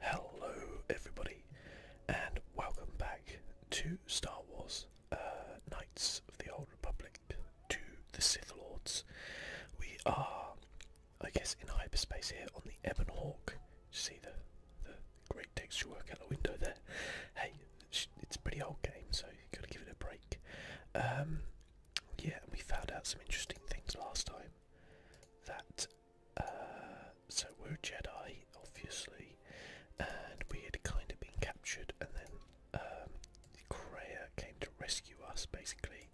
Hello, everybody, and welcome back to Star Wars uh, Knights of the Old Republic to the Sith Lords. We are, I guess, in hyperspace here on the Ebon Hawk. You see the, the great texture work out the window there? Hey, it's a pretty old game, so you've got to give it a break. Um, yeah, we found out some interesting things last time that uh, so we're a Jedi, obviously, and we had kind of been captured, and then um, came to rescue us, basically.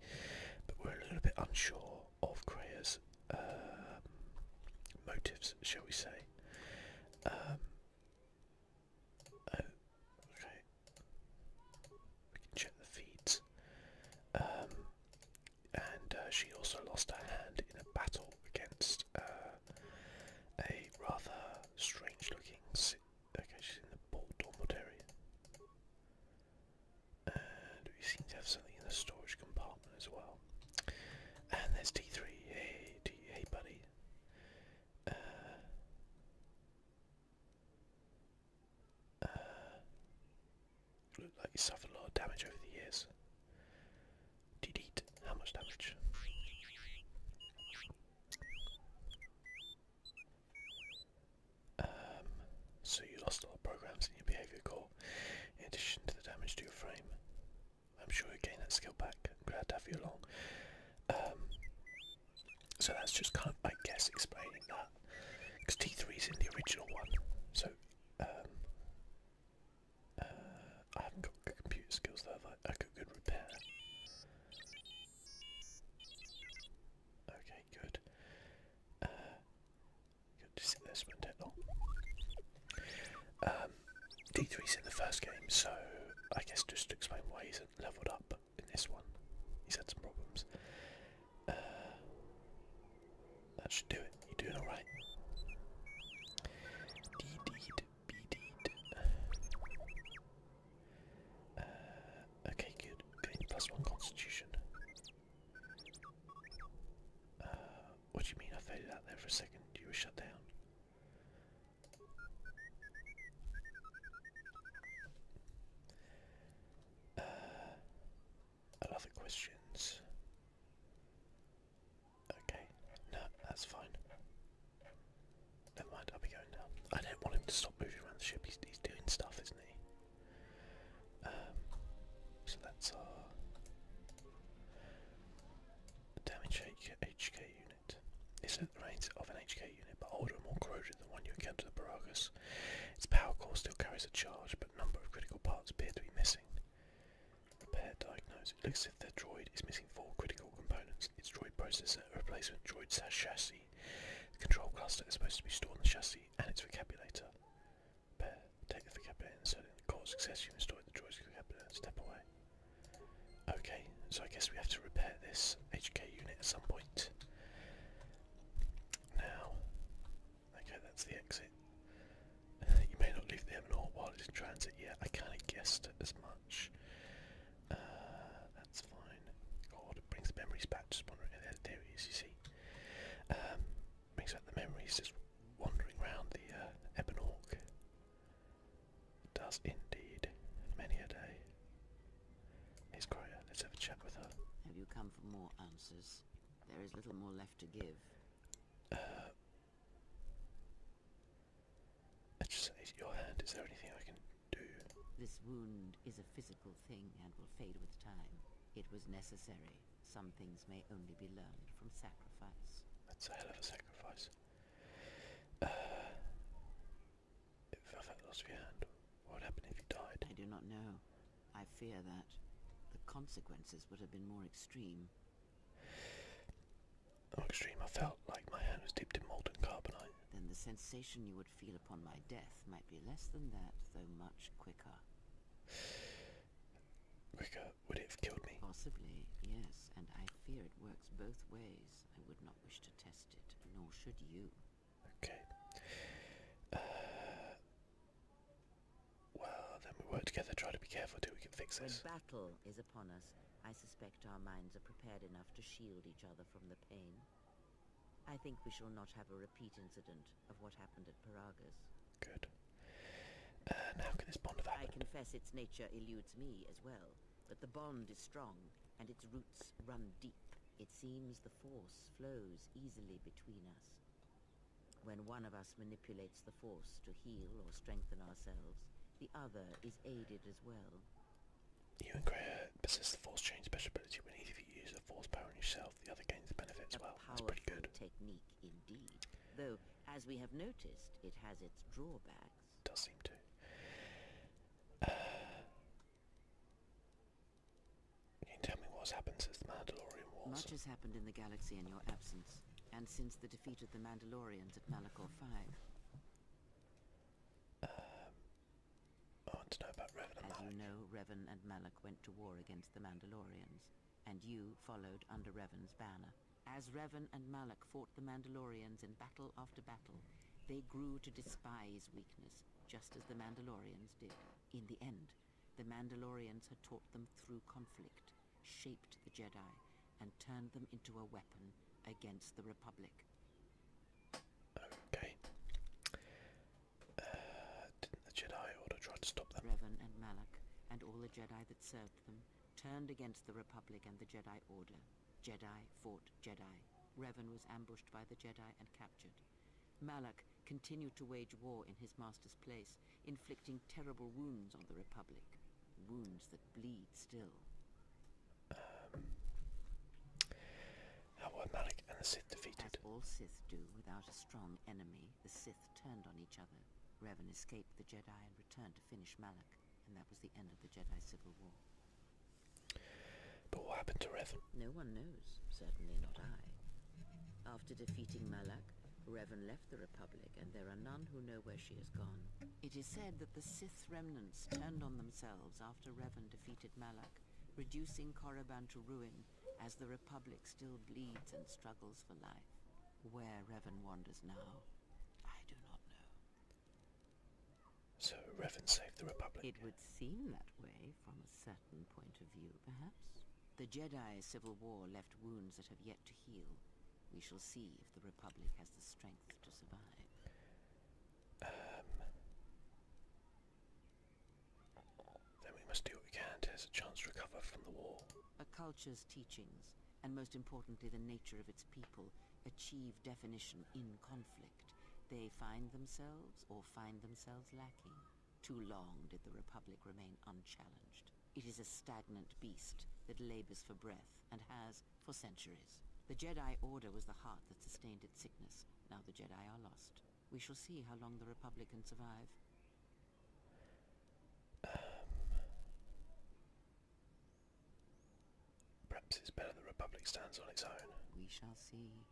But we're a little bit unsure of Kreia's um, motives, shall we say? Um, oh, okay. We can check the feeds. Um, and uh, she also lost her hand in a battle against uh, a rather strange-looking. Okay, she's in the port dormitory, and we seem to have something in the storage compartment as well. And there's T three. Hey, hey, buddy. Uh, uh, looked like he suffered a lot of damage over the years. Did eat how much damage? Um, so you lost a lot of programs in your behaviour core, in addition to the damage to your frame. I'm sure you gain that skill back. glad to have you along. Um, so that's just can't I guess, explaining that. Because T3 is in the original one, so um, uh, I haven't got good computer skills though. I? I got good repair. Okay, good. Uh, good to sit there for that Um, D3's in the first game, so I guess just to explain why he's isn't leveled up in this one, he's had some problems. Uh, that should do it. You're doing all right. D uh, okay, good. one constitution. Uh, what do you mean I faded out there for a second? You were shut down other questions? Okay, no, that's fine. Never mind, I'll be going now. I don't want him to stop moving around the ship, he's, doing stuff, isn't he? Um, so that's our damage HK unit. It's at the range of an HK unit, but older and more corroded than one you encountered at Baragas. Its power core still carries a charge, but number of critical parts appear to be missing. Repair diagnosed. It looks as if their droid is missing four critical components. Its droid processor, a replacement droid chassis, the control cluster is supposed to be stored in the chassis, and its vocabulator. Repair. Take the vocabulator and insert it in Success, you install the droid's vocabulator. Step away. Okay, so I guess we have to repair this HK unit at some point. Now, Okay, that's the exit. you may not leave the MNO while it is in transit. Yeah, I kind of guessed as much. Uh, that's fine. God, it brings memories back. Just wondering, there, there it is, you see. Um, brings back the memories just wandering around the uh, Ebenorg. does indeed. Many a day. Here's Gloria. Let's have a chat with her. Have you come for more answers? There is little more left left to give. Uh, your hand. Is there anything I can do? This wound is a physical thing and will fade with time. It was necessary. Some things may only be learned from sacrifice. That's a sacrifice. Uh, if I lost your hand, what would happen if you died? I do not know. I fear that the consequences would have been more extreme. Not extreme. I felt like my hand was dipped in molten carbonite. Then the sensation you would feel upon my death might be less than that, though much quicker. Quicker? Would it have killed me? Possibly, yes. And I fear it works both ways. I would not wish to test it, nor should you. Okay. Uh, well, then we work together, try to be careful till we can fix this. When battle is upon us, I suspect our minds are prepared enough to shield each other from the pain. I think we shall not have a repeat incident of what happened at Paragas. Good. how uh, can this bond I confess its nature eludes me as well, but the bond is strong, and its roots run deep. It seems the force flows easily between us. When one of us manipulates the force to heal or strengthen ourselves, the other is aided as well. You and Greyer possess the force change special ability. When either of you use the force power on yourself, the other gains the benefit as well. That's pretty good. technique indeed. Though, as we have noticed, it has its drawbacks. Does seem to tell me what's happened since the Mandalorian Wars? Much has happened in the galaxy in your absence, and since the defeat of the Mandalorians at Malachor 5. Um, want to know about Revan As you know, Revan and Malak went to war against the Mandalorians, and you followed under Revan's banner. As Revan and Malak fought the Mandalorians in battle after battle, they grew to despise weakness, just as the Mandalorians did. In the end, the Mandalorians had taught them through conflict, shaped the Jedi, and turned them into a weapon against the Republic. Okay. Uh, didn't the Jedi Order try to stop them? Revan and Malak, and all the Jedi that served them, turned against the Republic and the Jedi Order. Jedi fought Jedi. Revan was ambushed by the Jedi and captured. Malak continued to wage war in his master's place, inflicting terrible wounds on the Republic. Wounds that bleed still. Um, how were Malik and the Sith defeated? As all Sith do, without a strong enemy, the Sith turned on each other. Revan escaped the Jedi and returned to finish Malak, and that was the end of the Jedi Civil War. But what happened to Revan? No one knows, certainly not I. After defeating Malak, Revan left the Republic, and there are none who know where she has gone. It is said that the Sith remnants turned on themselves after Revan defeated Malak, reducing Korriban to ruin as the Republic still bleeds and struggles for life. Where Revan wanders now, I do not know. So Revan saved the Republic? It would seem that way from a certain point of view perhaps? The Jedi civil war left wounds that have yet to heal. We shall see if the Republic has the strength to survive. Um, then we must do what we can to have a chance to recover from the war. A culture's teachings, and most importantly the nature of its people, achieve definition in conflict. They find themselves or find themselves lacking. Too long did the Republic remain unchallenged. It is a stagnant beast that labors for breath, and has for centuries. The Jedi Order was the heart that sustained its sickness. Now the Jedi are lost. We shall see how long the Republic can survive. Um, perhaps it's better the Republic stands on its own. We shall see.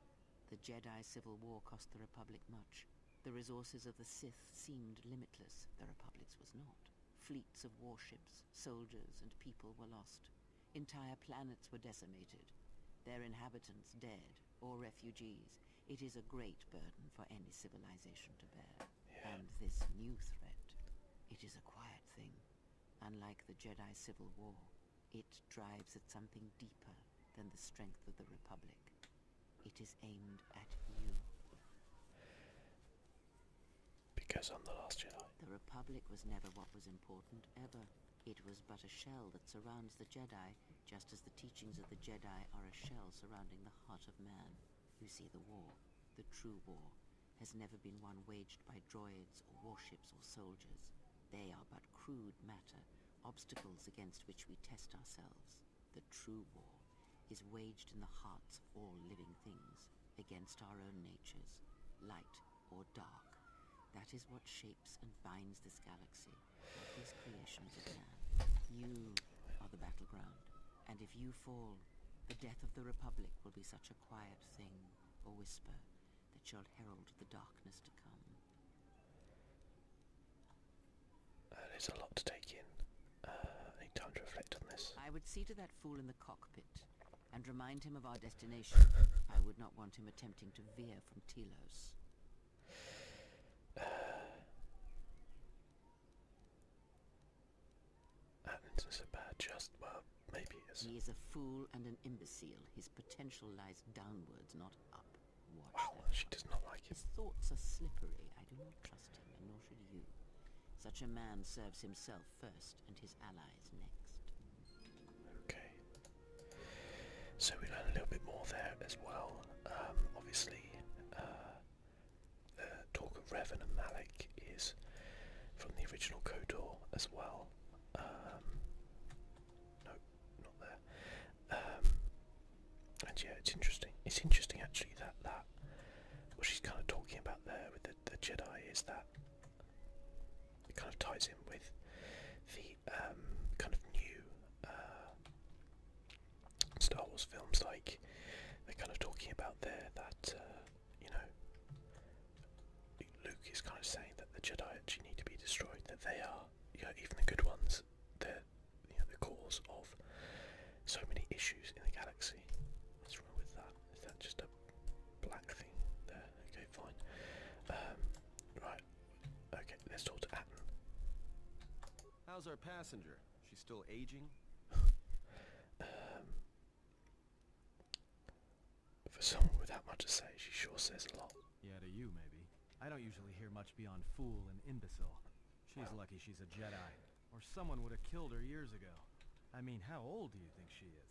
The Jedi Civil War cost the Republic much. The resources of the Sith seemed limitless, the Republic's was not. Fleets of warships, soldiers, and people were lost. Entire planets were decimated, their inhabitants dead or refugees. It is a great burden for any civilization to bear. And this new threat, it is a quiet thing. Unlike the Jedi Civil War, it drives at something deeper than the strength of the Republic. It is aimed at you. Because I'm the last Jedi. The Republic was never what was important ever. It was but a shell that surrounds the Jedi, just as the teachings of the Jedi are a shell surrounding the heart of man. You see, the war, the true war, has never been one waged by droids or warships or soldiers. They are but crude matter obstacles against which we test ourselves. The true war is waged in the hearts of all living things, against our own natures, light or dark. That is what shapes and binds this galaxy, these creations of man. You are the battleground, and if you fall, the death of the Republic will be such a quiet thing, a whisper, that shall herald the darkness to come. Uh, there's a lot to take in. Uh, I need time to reflect on this. I would see to that fool in the cockpit and remind him of our destination. I would not want him attempting to veer from Telos. Uh, is a bad just, well, maybe it is. He is a fool and an imbecile. His potential lies downwards, not up. Watch she does not like him. His thoughts are slippery. I do not trust him, and nor should you. Such a man serves himself first, and his allies next. Okay. So we learn a little bit more there as well. Um, obviously, uh, the talk of Revan and Malik is from the original Kodor as well. Um, no, not there. Um, and yeah, it's interesting. It's interesting actually that that what she's kind of talking about there with the, Jedi is that it kind of ties in with the um, kind of new uh, Star Wars films. Like they're kind of talking about there that uh, you know Luke is kind of saying that the Jedi actually need to be destroyed. That they are, you even the good ones the cause of so many issues in the galaxy. What's wrong with that? Is that just a black thing there? Okay, fine. Um, right. Okay, let's talk to Atten. How's our passenger? She's still aging? Um, for someone with that much to say, she sure says a lot. Yeah, to you, maybe. I don't usually hear much beyond fool and imbecile. She's lucky she's a Jedi, or someone would have killed her years ago. I mean, how old do you think she is?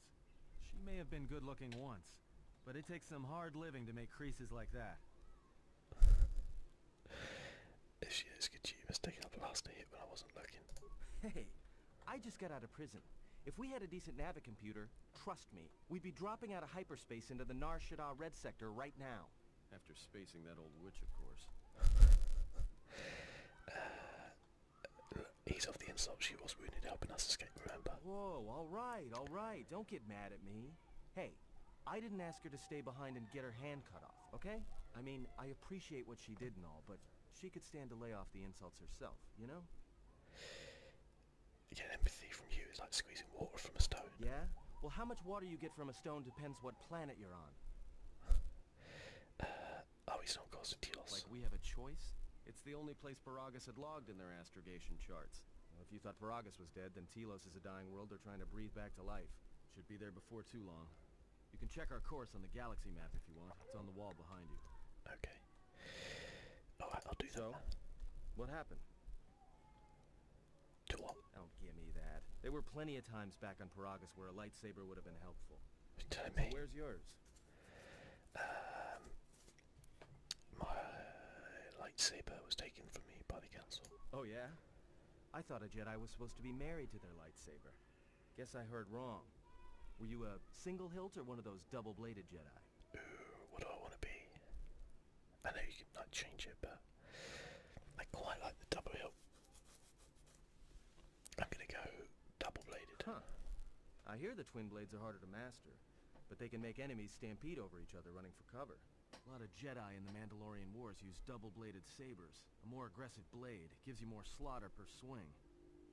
She may have been good-looking once, but it takes some hard living to make creases like that. this year's Kajima's taking up last hit when I wasn't looking. Hey, I just got out of prison. If we had a decent Navi computer, trust me, we'd be dropping out of hyperspace into the Nar Shaddaa Red Sector right now. After spacing that old witch, of course. he's off the insults. She was wounded, helping us escape, remember? Whoa, alright, alright. Don't get mad at me. Hey, I didn't ask her to stay behind and get her hand cut off, okay? I mean, I appreciate what she did and all, but she could stand to lay off the insults herself, you know? You empathy from you. It's like squeezing water from a stone. Yeah? Well, how much water you get from a stone depends what planet you're on. uh, oh, he's on Constantinos. Like we have a choice? It's the only place Paragus had logged in their astrogation charts. if you thought Paragus was dead, then Telos is a dying world they're trying to breathe back to life. Should be there before too long. You can check our course on the galaxy map if you want. It's on the wall behind you. Okay. Alright, I'll do that. So, what happened? Don't oh, give me that. There were plenty of times back on Paragas where a lightsaber would have been helpful. Tell me. where's yours? Um, my lightsaber was taken from me by the council. Oh yeah? I thought a Jedi was supposed to be married to their lightsaber. Guess I heard wrong. Were you a single hilt or one of those double-bladed Jedi? what do I want to be? I know you can change it, but I quite like the double hilt. am gonna go double bladed. Huh. I hear the twin blades are harder to master, but they can make enemies stampede over each other running for cover. A lot of Jedi in the Mandalorian Wars use double-bladed sabers. A more aggressive blade gives you more slaughter per swing.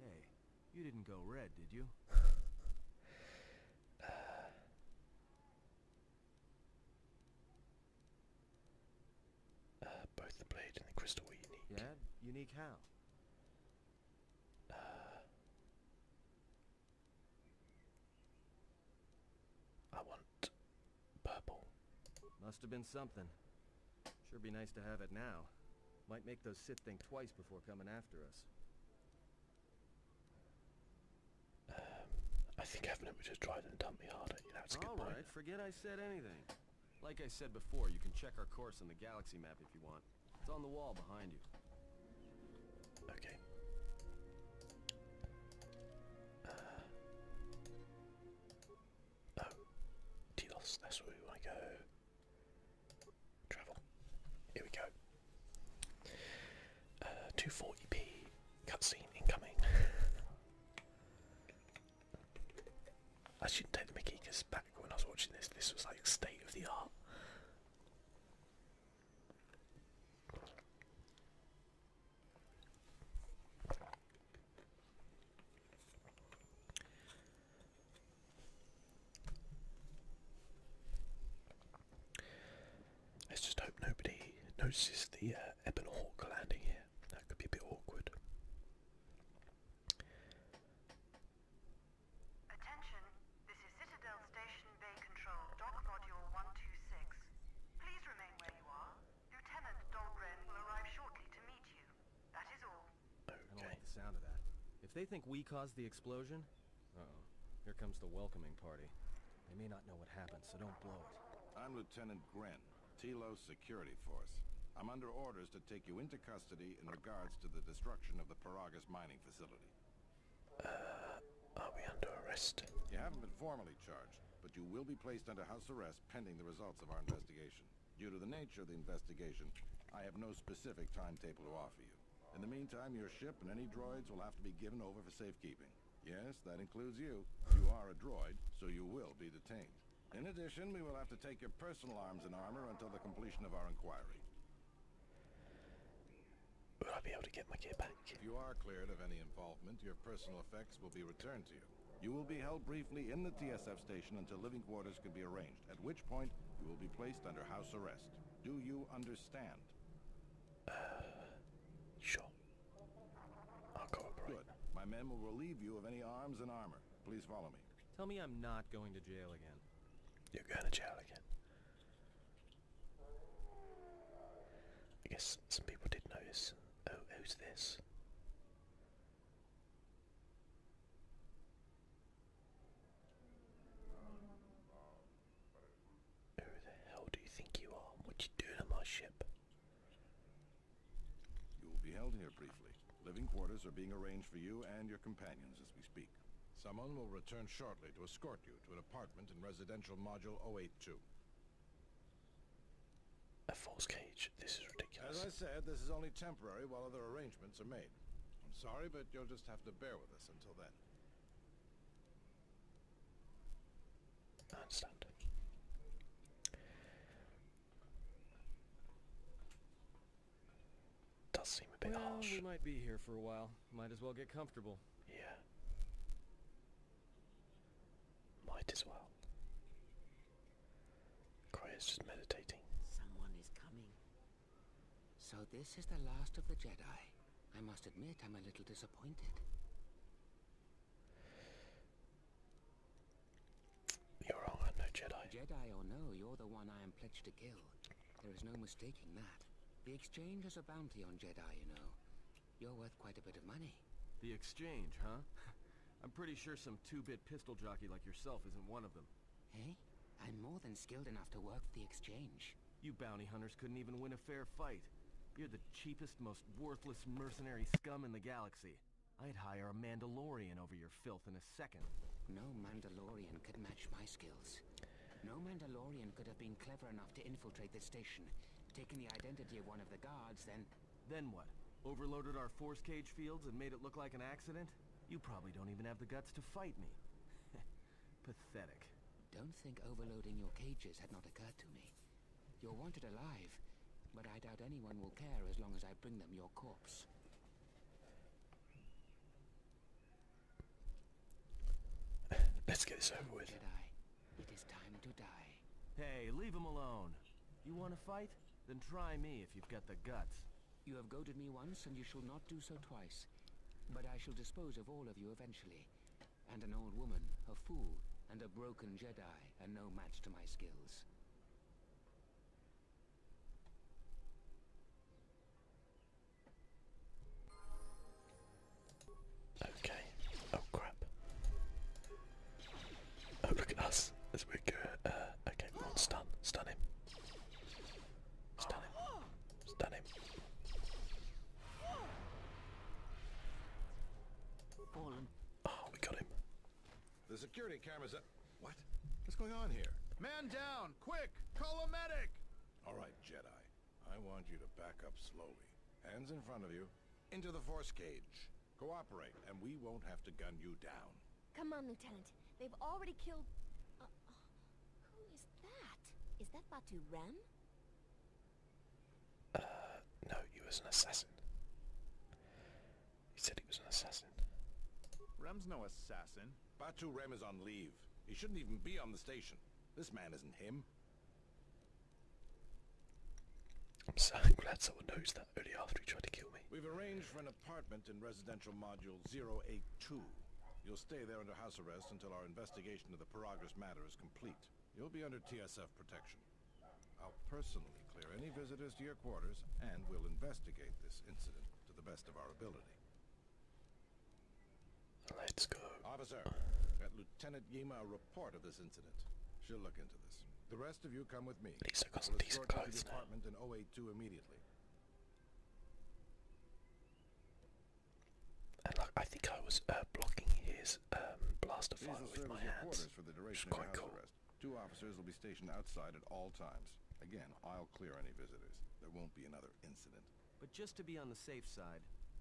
Hey, you didn't go red, did you? Uh, uh, both the blade and the crystal were unique. Yeah, unique how? Uh, I want purple. Must have been something. Sure be nice to have it now. Might make those Sith think twice before coming after us. Um, I think Evan would just drive and dump me harder. You know, a good point. right, forget I said anything. Like I said before, you can check our course on the galaxy map if you want. It's on the wall behind you. Okay. Uh, oh, Telos, that's where we want to go. Travel. Here we go. 240p uh, cutscene incoming. I shouldn't take the Mickey because back when I was watching this, this was like state of the art. Let's just hope nobody notices the uh, Ebon Hawk landing here. That could be a bit awkward. Attention, this is Citadel Station Bay Control, Dock Module 126. Please remain where you are. Lieutenant Dahlgren will arrive shortly to meet you. That is all. I don't like the sound of that. If they think we caused the explosion, oh Here comes the welcoming party. They may not know what happened, so don't blow it. I'm Lieutenant Gren, Telos Security Force. I'm under orders to take you into custody in regards to the destruction of the Paragas mining facility. Uh, are we under arrest? You haven't been formally charged, but you will be placed under house arrest pending the results of our investigation. Due to the nature of the investigation, I have no specific timetable to offer you. In the meantime, your ship and any droids will have to be given over for safekeeping. Yes, that includes you. You are a droid, so you will be detained. In addition, we will have to take your personal arms and armor until the completion of our inquiry. Will I be able to get my gear back? If you are cleared of any involvement, your personal effects will be returned to you. You will be held briefly in the TSF station until living quarters can be arranged, at which point you will be placed under house arrest. Do you understand? Uh, sure. Good. My men will relieve you of any arms and armor. Please follow me. Tell me I'm not going to jail again. You're going to jail again. I guess some people did notice. Oh, who's this? Who the hell do you think you are? What you doing on my ship? You will be held here briefly. Living quarters are being arranged for you and your companions as we speak. Someone will return shortly to escort you to an apartment in residential module 082. A false cage. This is ridiculous. As I said, this is only temporary while other arrangements are made. I'm sorry, but you'll just have to bear with us until then. I understand. Does seem a bit well, We might be here for a while. Might as well get comfortable. Yeah. Might as well. Crya's just meditating. Someone is coming. So this is the last of the Jedi. I must admit I'm a little disappointed. You're wrong, I'm no Jedi. Jedi or no, you're the one I am pledged to kill. There is no mistaking that. The exchange has a bounty on Jedi, you know. You're worth quite a bit of money. The exchange, huh? I'm pretty sure some two-bit pistol jockey like yourself isn't one of them. Hey? I'm more than skilled enough to work the exchange. You bounty hunters couldn't even win a fair fight. You're the cheapest, most worthless mercenary scum in the galaxy. I'd hire a Mandalorian over your filth in a second. No Mandalorian could match my skills. No Mandalorian could have been clever enough to infiltrate this station, taken the identity of one of the guards, then... Then what? Overloaded our force cage fields and made it look like an accident? You probably don't even have the guts to fight me. Pathetic. Don't think overloading your cages had not occurred to me. You're wanted alive, but I doubt anyone will care as long as I bring them your corpse. Let's get this over with. it is time to die. Hey, leave him alone. You want to fight? Then try me if you've got the guts. You have goaded me once, and you shall not do so twice. But I shall dispose of all of you eventually and an old woman, a fool, and a broken Jedi are no match to my skills. Okay. Oh crap. Oh look at us as we go. Uh, okay, well, stun, him, stun him. Stun him. Oh, we got him. The security cameras up. What? What's going on here? Man down! Quick! Call a medic! Alright, Jedi. I want you to back up slowly. Hands in front of you. Into the force cage. Cooperate, and we won't have to gun you down. Come on, Lieutenant. They've already killed... Uh, uh, who is that? Is that Batu Ram? Uh, no, he was an assassin. He said he was an assassin. Rem's no assassin. Batu Rem is on leave. He shouldn't even be on the station. This man isn't him. I'm so glad someone knows that only after he tried to kill me. We've arranged for an apartment in residential module 082. You'll stay there under house arrest until our investigation of the Paragress matter is complete you'll be under TSF protection. I'll personally clear any visitors to your quarters, and we'll investigate this incident to the best of our ability. Let's go. Officer, at Lieutenant Yima a report of this incident. She'll look into this. The rest of you come with me. Lisa got some decent Department in 082 immediately. I think I was uh, blocking his um, blaster fire with my hands, which quite cool. Two officers will be stationed outside at all times. Again, I'll clear any visitors. There won't be another incident. But just to be on the safe side,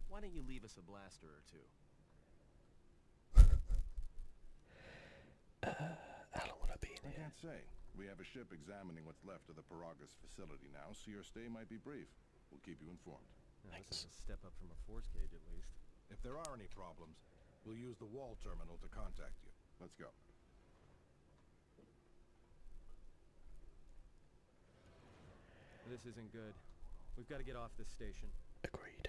why don't you leave us a blaster or two? uh, how long will I be in can't say. We have a ship examining what's left of the Paragas facility now, so your stay might be brief. We'll keep you informed. Yeah, Thanks. That's a step up from a force cage, at least. If there are any problems, we'll use the wall terminal to contact you. Let's go. This isn't good. We've got to get off this station. Agreed.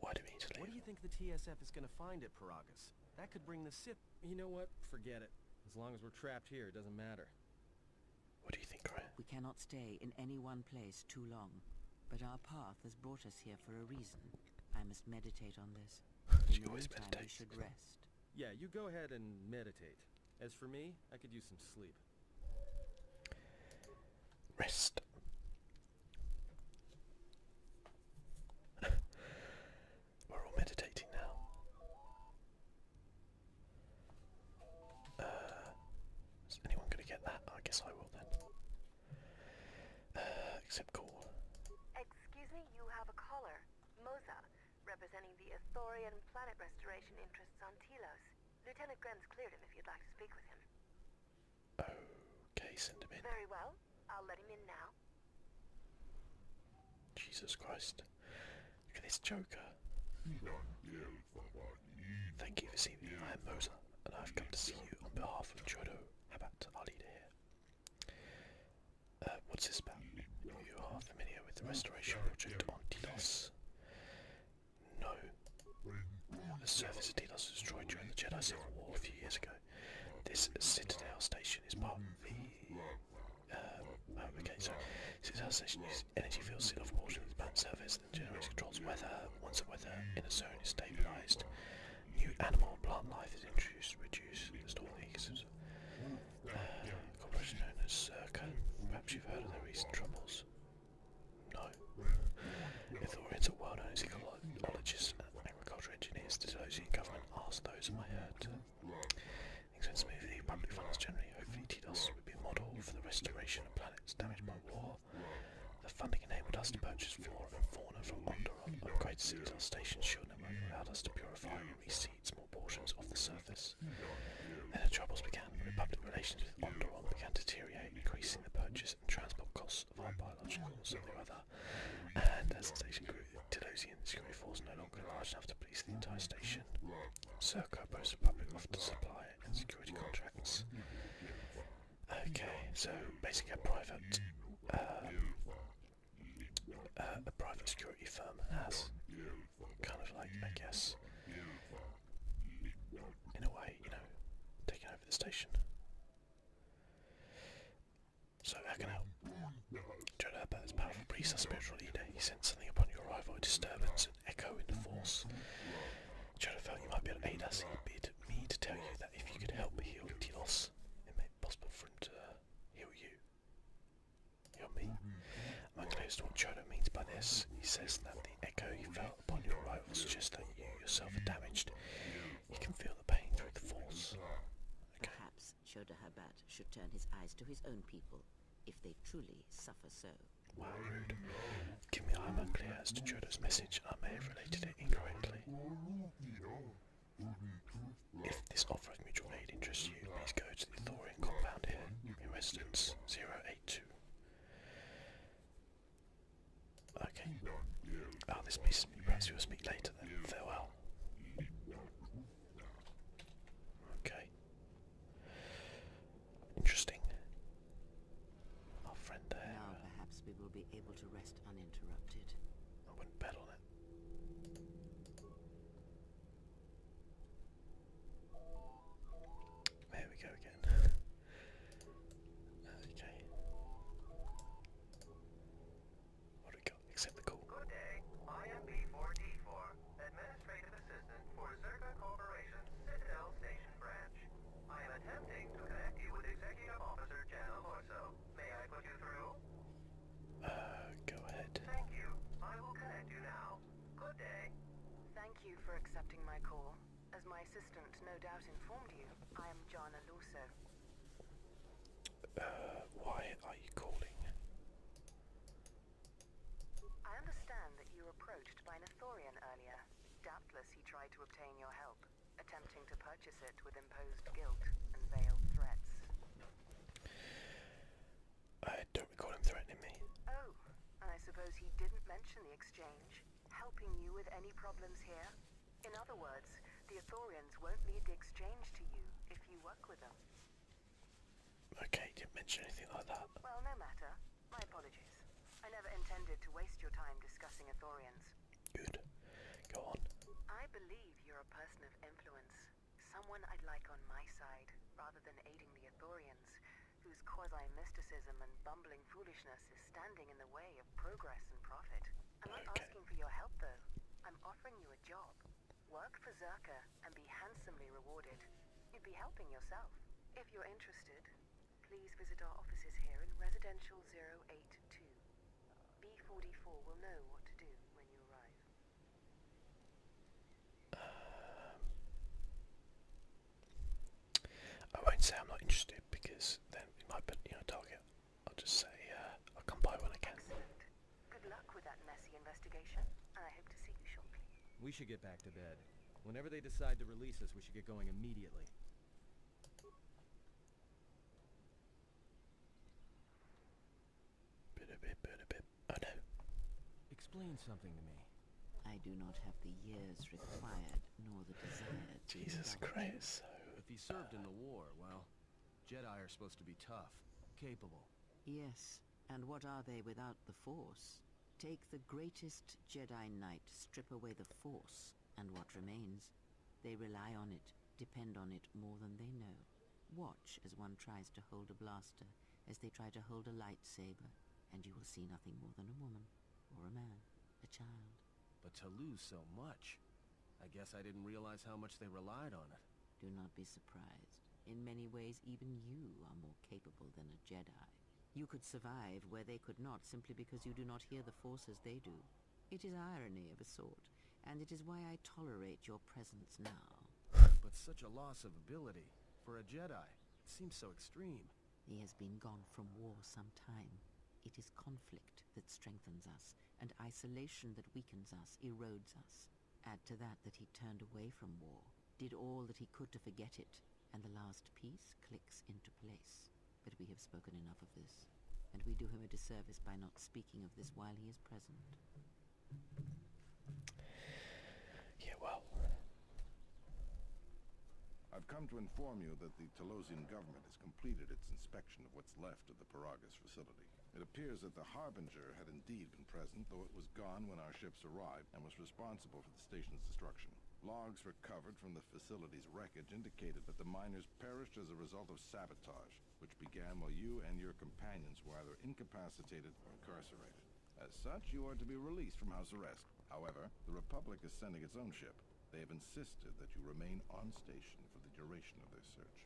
What do we need What do you think the TSF is going to find at Paragas? That could bring the Sith... You know what? Forget it. As long as we're trapped here, it doesn't matter. What do you think, Ryan? We cannot stay in any one place too long, but our path has brought us here for a reason. I must meditate on this. You always meditates. should rest. Yeah, you go ahead and meditate. As for me, I could use some sleep. Rest. We're all meditating now. Uh, is anyone going to get that? I guess I will then. Uh, except call. Excuse me, you have a caller. Moza, representing the Athorian planet restoration interests on Telos. Lieutenant Gren's cleared him if you'd like to speak with him. Okay, send Very well. I'll let him in now. Jesus Christ. Look at this joker. Thank you for seeing me. I am Moza, and I have come to see you on behalf of Jodo Habat, our leader here. Uh, what's this about? You are familiar with the restoration project on Delos? No. The surface of Delos was destroyed during the Jedi Civil War a few years ago. This Citadel station is part um, oh, okay, so since our station uses energy fields sealed off portion of the planet's surface, then generates controls weather. Once the weather in a zone is stabilised, new animal plant life is introduced reduced, reduce the storm uh, corporation known as Circa. Perhaps you've heard of their recent troubles. No. If Ithorians are well known ecologists and agricultural engineers. the those government asked those in my heard? the smoothly, public funds generally, hopefully TDOS would be a model for the restoration of planets damaged by war. The funding enabled us to purchase flora and fauna from Onderon, upgrade cities on station shield network, allowed us to purify and reseed small portions of the surface. Then the troubles began when public relations with Onderon began to deteriorate, increasing the purchase and transport costs of our biologicals and the other. And as the station grew, the Delosian security force no longer large enough to police the entire station. Serco opposed the problem supply security contracts. Okay, so basically a private, uh, uh, a private security firm has kind of like, I guess, in a way, you know, taken over the station. So how can help? John Herbert, as powerful priest and spiritual leader, he sensed something upon your arrival, disturbance echo in the force. Jonah felt you might be able to aid us. He bid me to tell you that if you could help heal Tilos, it may be possible for him to uh, heal you. Heal me. I'm unclear to what Jonah means by this. He says that the echo he felt upon your arrival suggests that you yourself are damaged. You can feel the pain through the force. Perhaps Shoda Habat should turn his eyes to his own people if they truly suffer so. Wow, rude. Give me I'm unclear to Jodo's message. I may have related it incorrectly. If this offer of mutual aid interests you, please go to the Thorian compound here in residence 082. Okay. oh, this piece. Perhaps you will speak later then. Farewell. Okay. Interesting. Our friend there. Now perhaps we will be able to rest uninterrupted. I wouldn't bet on it. There we go again. okay. What do we got? Except the call. am 4 d 4 Administrative Assistant for Zerka Corporation Citadel Station Branch. I am attempting to connect you with Executive Officer Jana Morso. May I put you through? Uh, go ahead. Thank you. I will connect you now. Good day. Thank you for accepting my call. As my assistant no doubt informed you, I am Jana Luso. Uh, why are you calling? I understand that you were approached by an Athorian earlier. Doubtless he tried to obtain your help, attempting to purchase it with imposed guilt and veiled threats. I don't recall him threatening me. Oh, and I suppose he didn't mention the exchange, helping you with any problems here? In other words, the Athorians won't need the exchange to you if you work with them. Okay, didn't mention anything like that. Well, no matter. My apologies. I never intended to waste your time discussing Athorians. Good. Go on. I believe you're a person of influence. Someone I'd like on my side, rather than aiding the Athorians, whose quasi-mysticism and bumbling foolishness is standing in the way of progress and profit. I'm not asking for your help, though. I'm offering you a job. Work for Zerka and be handsomely rewarded. You'd be helping yourself. If you're interested, please visit our offices here in Residential 082. B44 will know what to do when you arrive. I won't say I'm not interested because then it might put you know target. I'll just say uh, I'll come by when I can. Excellent. We should get back to bed. Whenever they decide to release us, we should get going immediately. Oh no. Explain something to me. I do not have the years required nor the desire. Jesus Christ. if he served in the war, well, Jedi are supposed to be tough, capable. Yes, and what are they without the Force? Take the greatest Jedi Knight, strip away the Force, and what remains? They rely on it, depend on it more than they know. Watch as one tries to hold a blaster, as they try to hold a lightsaber, and you will see nothing more than a woman, or a man, a child. But to lose so much, I guess I didn't realize how much they relied on it. Do not be surprised. In many ways, even you are more capable than a Jedi. You could survive where they could not simply because you do not hear the forces they do. It is irony of a sort, and it is why I tolerate your presence now. But such a loss of ability, for a Jedi, it seems so extreme. He has been gone from war some time. It is conflict that strengthens us, and isolation that weakens us, erodes us. Add to that that he turned away from war, did all that he could to forget it, and the last piece clicks into place. But we have spoken enough of this, and we do him a disservice by not speaking of this while he is present. Yeah, well. I've come to inform you that the Talosian government has completed its inspection of what's left of the Paragas facility. It appears that the Harbinger had indeed been present, though it was gone when our ships arrived and was responsible for the station's destruction. Logs recovered from the facility's wreckage indicated that the miners perished as a result of sabotage, which began while you and your companions were either incapacitated or incarcerated. As such, you are to be released from house arrest. However, the Republic is sending its own ship. They have insisted that you remain on station for the duration of their search.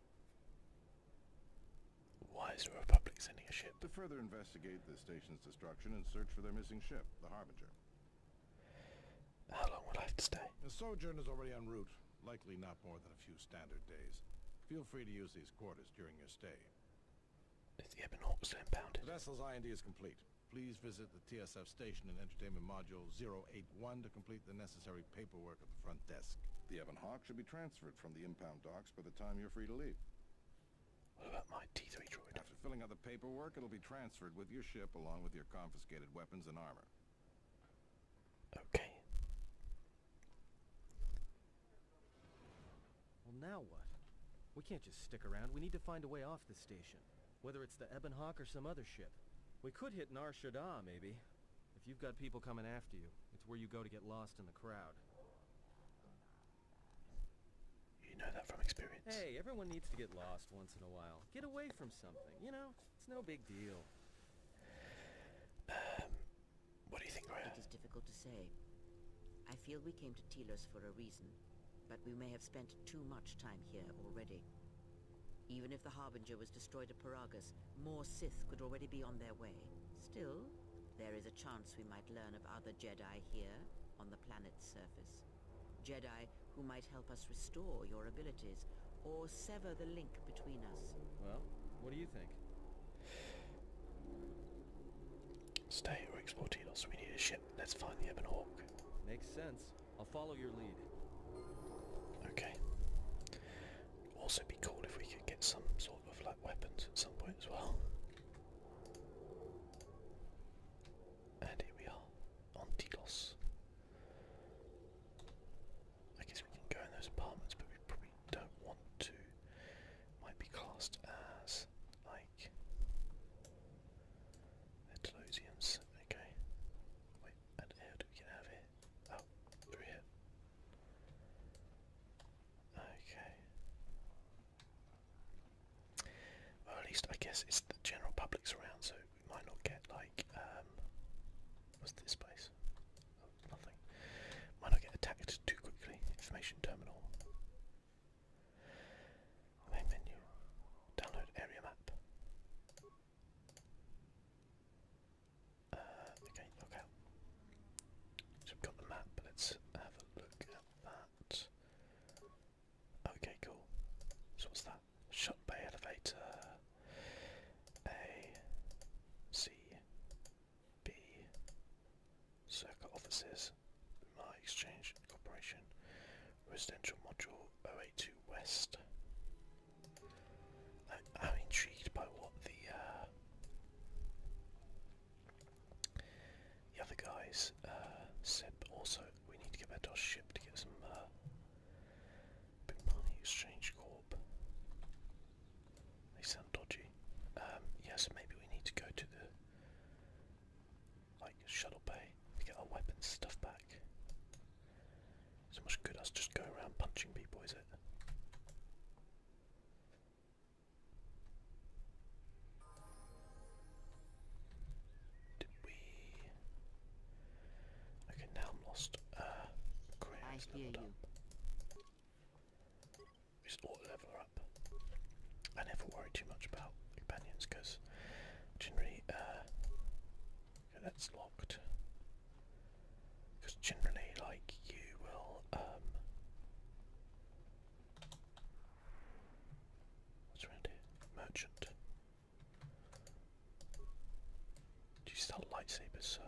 Why is the Republic sending a ship? To further investigate the station's destruction and search for their missing ship, the Harbinger. How long will I have to stay? The Sojourn is already en route, likely not more than a few standard days. Feel free to use these quarters during your stay. Is the Ebonhawk still impounded? The vessel's IND is complete. Please visit the TSF station in Entertainment Module 081 to complete the necessary paperwork at the front desk. The Evan Hawk should be transferred from the impound docks by the time you're free to leave. What about my T3 droid? After filling out the paperwork, it'll be transferred with your ship along with your confiscated weapons and armor. Okay. Well, now what? We can't just stick around. We need to find a way off this station. Whether it's the Ebon Hawk or some other ship. We could hit Nar Shaddaa, maybe. If you've got people coming after you, it's where you go to get lost in the crowd. You know that from experience. Hey, everyone needs to get lost once in a while. Get away from something, you know? It's no big deal. Um, what do you think, Raya? It is difficult to say. I feel we came to Telos for a reason, but we may have spent too much time here already. Even if the Harbinger was destroyed at Paragas, more Sith could already be on their way. Still, there is a chance we might learn of other Jedi here, on the planet's surface. Jedi who might help us restore your abilities, or sever the link between us. Well, what do you think? Stay or explore Telos. We need a ship. Let's find the Ebon Hawk. Makes sense. I'll follow your lead. Okay. Also be cool if we could get some sort of like weapons at some point as well. And here we are, on Tilos. I guess we can go in those apartments, but we probably don't want to. Might be classed as like Metalosians. Okay. Wait, how do we get out of here? Oh, through here. Okay. Well, at least I guess it's the general public's around, so we might not get like um, what's this place? Oh, nothing. Might not get attacked too quickly. Information terminal. Main menu. Download area map. Uh, okay, okay, so we've got the map, let's have a look at that. Okay, cool. So what's that? Shut bay elevator. A. C. B. Circle offices. My exchange corporation. Residential module 082 West. I, am intrigued by what the uh, the other guys uh, said also we need to get back to our ship to get some uh, money exchange corp. They sound dodgy. Um, yes, maybe we need to go to the like shuttle bay to get our weapons stuff back. so much good us just go around punching people, is it? Did we? Okay, now I'm lost. Uh, I hear you. We just ought up. I never worry too much about companions because generally, uh, okay, that's locked. Because generally, like you will, um, What's around here? Merchant. Do you sell lightsabers, sir?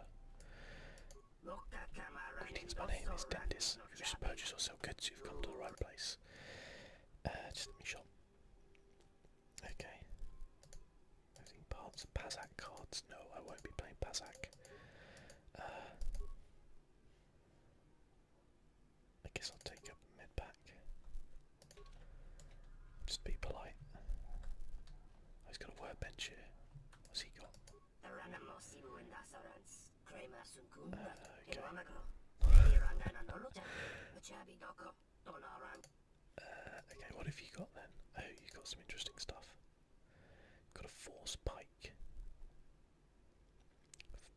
Greetings, my name is Dendis. If you wish to purchase or sell goods, you've come to the right place. Uh, just let me shop. Okay. Moving parts, Pazak cards. No, I won't be playing Pazak. Uh, I guess I'll take up mid pack. Just be polite. Oh, he got a workbench here. What's he got? okay. Uh, okay, what have you got then? Oh, you've got some interesting stuff. Got a force pike.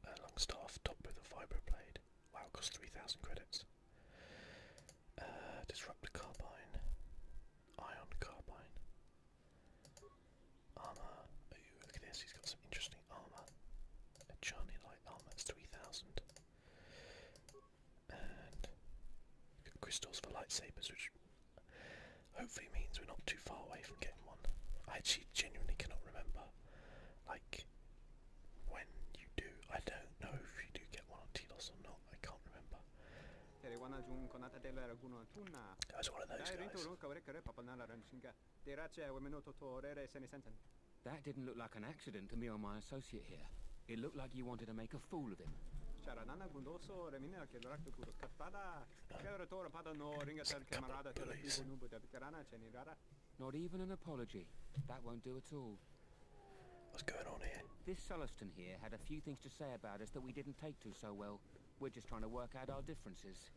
Uh, Longstaff topped with a vibro blade. Wow, costs 3,000 credits. Uh, disrupt carbine. Ion carbine. Armour. Ooh, look at this, he's got some interesting armour. A shiny Light armour, it's 3,000. And crystals for lightsabers, which Hopefully means we're not too far away from getting one. I actually genuinely cannot remember. Like when you do, I don't know if you do get one on Telos or not. I can't remember. I was one of those guys. That didn't look like an accident to me or my associate here. It looked like you wanted to make a fool of him. Not even an apology. That won't do at all. What's going on here? This Sulliston here had a few things to say about us that we didn't take to so well. We're just trying to work out our differences.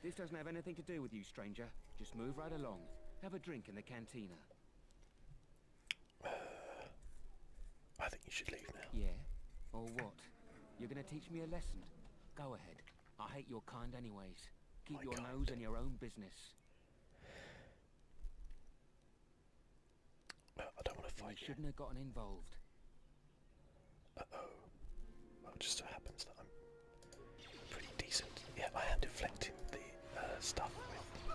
This doesn't have anything to do with you, stranger. Just move right along. Have a drink in the cantina. I think you should leave now. Yeah? Or what? You're gonna teach me a lesson. Go ahead. I hate your kind anyways. Keep your nose in your own business. I don't want to fight you. shouldn't have gotten involved. Uh-oh. Well, oh, just so happens that I'm pretty decent. Yeah, I am deflecting the uh, stuff with...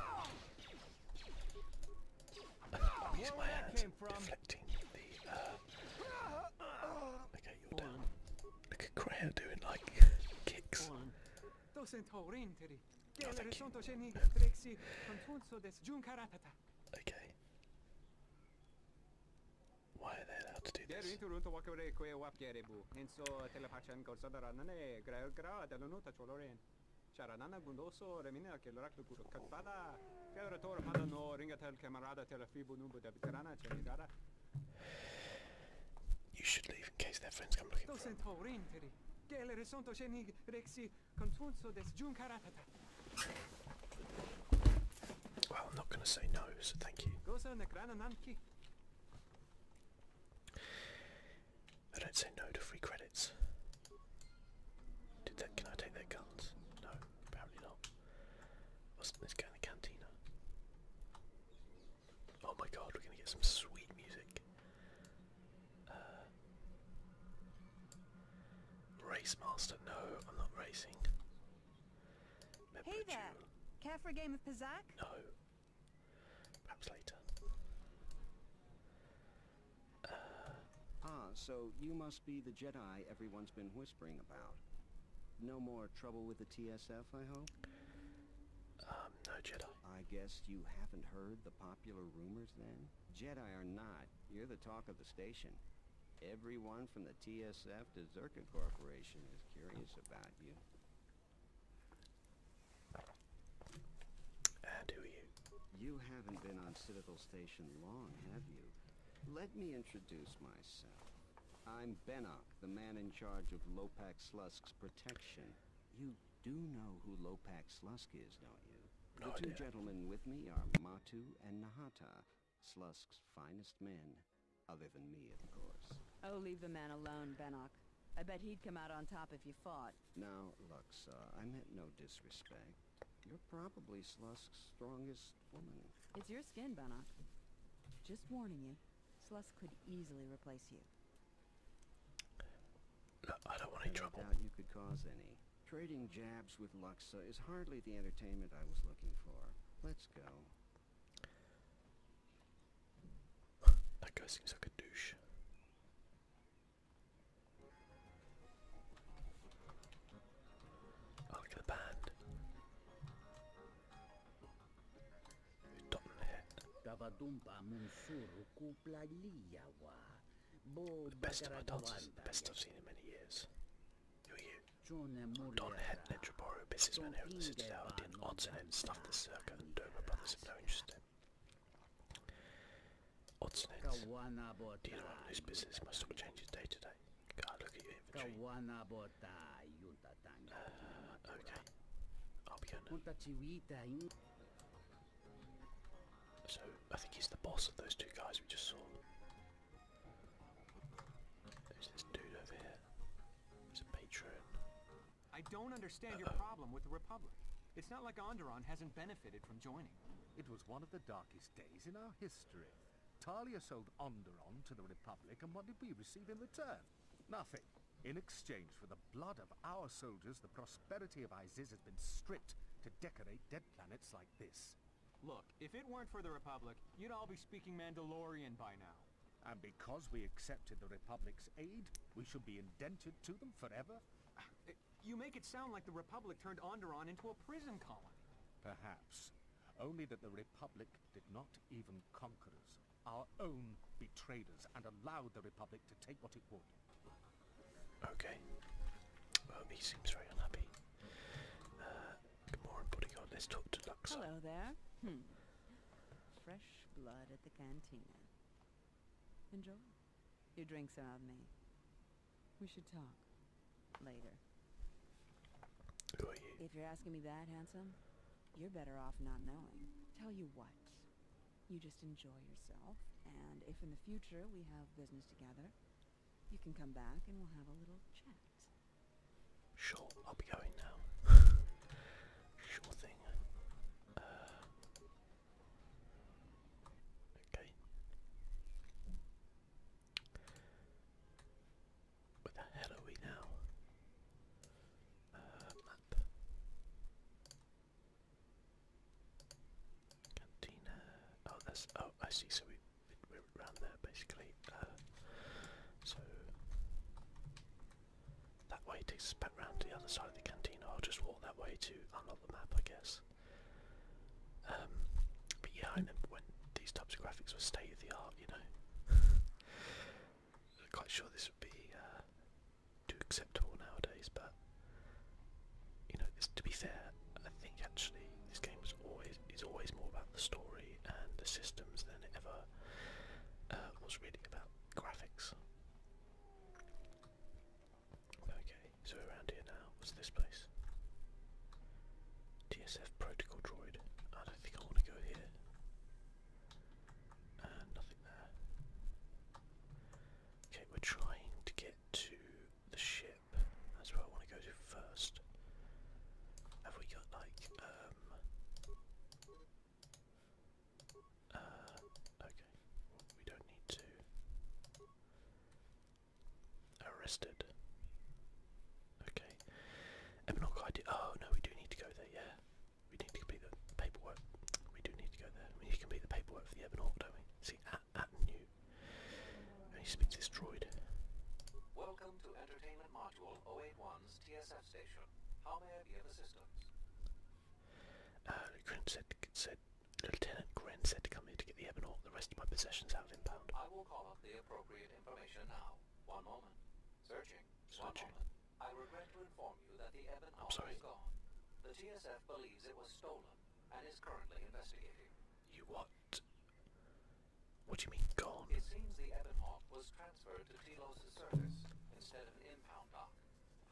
I'm using oh, my hands, deflecting the... Uh, Okay, you're down. Look at Creo doing like kicks. Oh, okay. Why are they allowed to do this? Oh. You should leave in case their friends come looking for them. Well, I'm not going to say no, so thank you. I don't say no to free credits. Did that? Can I take their guns? No, apparently not. Wasn't this guy the cantina? Oh my god, we're gonna get some sweet music. Uh, race master, no, I'm not racing. Member hey there, care for a game of Pizak? No, perhaps later. ah, so you must be the Jedi everyone's been waiting whispering about? No more trouble with the TSF, I hope? Um, no Jedi. I guess you haven't heard the popular rumors then? Jedi are not, you're the talk of the station. Everyone from the TSF to Zerka Corporation is curious about you. And who are you? You haven't been on Citadel Station long, have you? Let me introduce myself. I'm Benok, the man in charge of Lopak Slusk's protection. You do know who Lopak Slusk is, don't you? the two gentlemen with me are Matu and Nahata, Slusk's finest men, other than me, of course. Oh, leave the man alone, Benok. I bet he'd come out on top if you fought. Now, Luxa, I meant no disrespect. You're probably Slusk's strongest it's your skin, Bannock. Just warning you, Slusk could easily replace you. I don't want any trouble. doubt you could cause any. Trading jabs with Luxa is hardly the entertainment I was looking for. Let's go. that guy seems like a douche. look at the band best of best I've seen in many years. Who you? Don Het Netroboro, businessman here at the Citadel, did odds and ends stuff this circuit and brothers have no interest Odds and ends. Do you know whose business my stock changes day to day? God, look at your inventory. Uh, okay. I'll be going. So I think he's the boss of those two guys we just saw. There's this dude over here. He's a patron. I don't understand your problem with the Republic. It's not like Onderon hasn't benefited from joining. It was one of the darkest days in our history. Talia sold Onderon to the Republic, and what did we receive in return? Nothing. In exchange for the blood of our soldiers, the prosperity of Isis has been stripped to decorate dead planets like this. Look, if it weren't for the Republic, you'd all be speaking Mandalorian by now. And because we accepted the Republic's aid, we should be indentured to them forever? Ah, you make it sound like the Republic turned Onderon into a prison colony. Perhaps. Only that the Republic did not even conquerors, our own betrayers, and allowed the Republic to take what it would. Okay. Um, he seems very unhappy. good uh, morning, bodyguard. Let's talk to Luxa. Hello there. Hmm. Fresh blood at the cantina. Enjoy. Your drinks are on me. We should talk. Later. If you're asking me that, handsome, you're better off not knowing. Tell you what, you just enjoy yourself, and if in the future we have business together, you can come back and we'll have a little chat. Sure, I'll be going now. sure thing. Uh, okay. Where the hell are we now? Uh, map. Cantina. Oh, that's. Oh, I see. So we, we are around there basically. Uh, so that way takes us back round to the other side of the cantina. I'll just walk that way to unlock the map, I guess. Um, but yeah, I remember when these types of graphics were state of the art, you know. I'm quite sure this would be uh, too acceptable nowadays, but you know, to be fair, I think actually this game is always more about the story and the systems than it ever uh, was really about graphics. Okay, so around here now, what's this place? TSF protocol droid. I don't think I want to go here. And uh, nothing there. Okay, we're trying to get to the ship. That's where I want to go to first. Have we got like um, uh, okay. we don't need to arrested. Okay. Eminok ID. Oh no, we do need to go there. Yeah, we need to complete the paperwork. We do need to go there. We need to complete the paperwork for the Eminok, we? See, at, at new. And he speaks Welcome to Entertainment Module 081's TSF station. How may I be of assistance? Uh, Grin said, said, Lieutenant Grin said to come here to get the Ebenor, the rest of my possessions out of impound. I will call up the appropriate information now. One moment. Searching. I regret to inform you that the Ebon Hawk is gone. The TSF believes it was stolen and is currently investigating. You what? What do you mean gone? It seems the Hawk was transferred to Telos' service instead of an impound dock.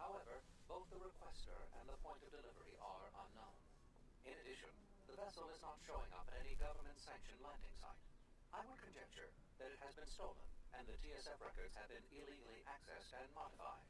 However, both the requester and the point of delivery are unknown. In addition, the vessel is not showing up at any government-sanctioned landing site. I would conjecture that it has been stolen, and the TSF records have been illegally accessed and modified.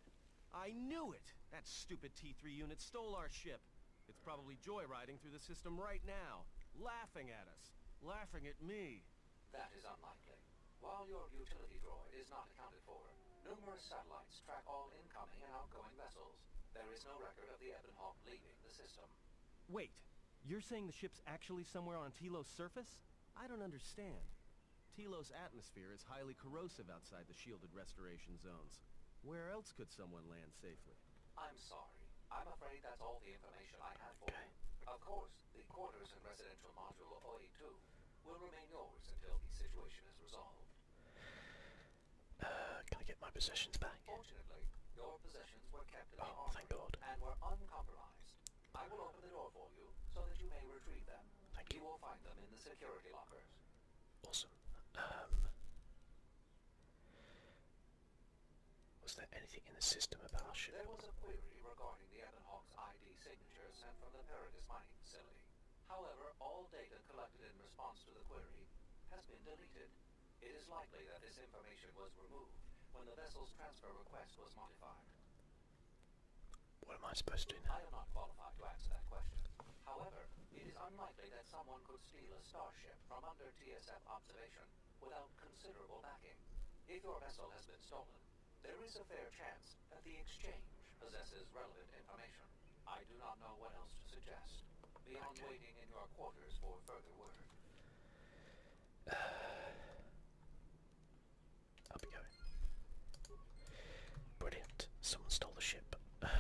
I knew it! That stupid T3 unit stole our ship. It's probably joyriding through the system right now, laughing at us, laughing at me. That is unlikely. While your utility droid is not accounted for, numerous satellites track all incoming and outgoing vessels. There is no record of the Ebonhawk leaving the system. Wait, you're saying the ship's actually somewhere on Telos' surface? I don't understand. Telos' atmosphere is highly corrosive outside the shielded restoration zones. Where else could someone land safely? I'm sorry. I'm afraid that's all the information I have for you. Of course, the quarters and residential module of OE2 will remain yours until the situation is resolved. Uh, can I get my possessions back? anything. your possessions were kept in the oh, thank God. and were uncompromised. I will open the door for you so that you may retrieve them. Thank you. will find them in the security lockers. Awesome. Um, was there anything in the system about our ship? There was a query regarding the Ebonhawk's ID signature sent from the Paradis mining facility. However, all data collected in response to the query has been deleted. It is likely that this information was removed when the vessel's transfer request was modified. What am I supposed to do now? I am not qualified to answer that question. However, it is unlikely that someone could steal a starship from under TSF observation without considerable backing. If your vessel has been stolen, there is a fair chance that the exchange possesses relevant information. I do not know what else to suggest, beyond waiting in your quarters for further word. Uh, up we go. Brilliant. Someone stole the ship. Uh,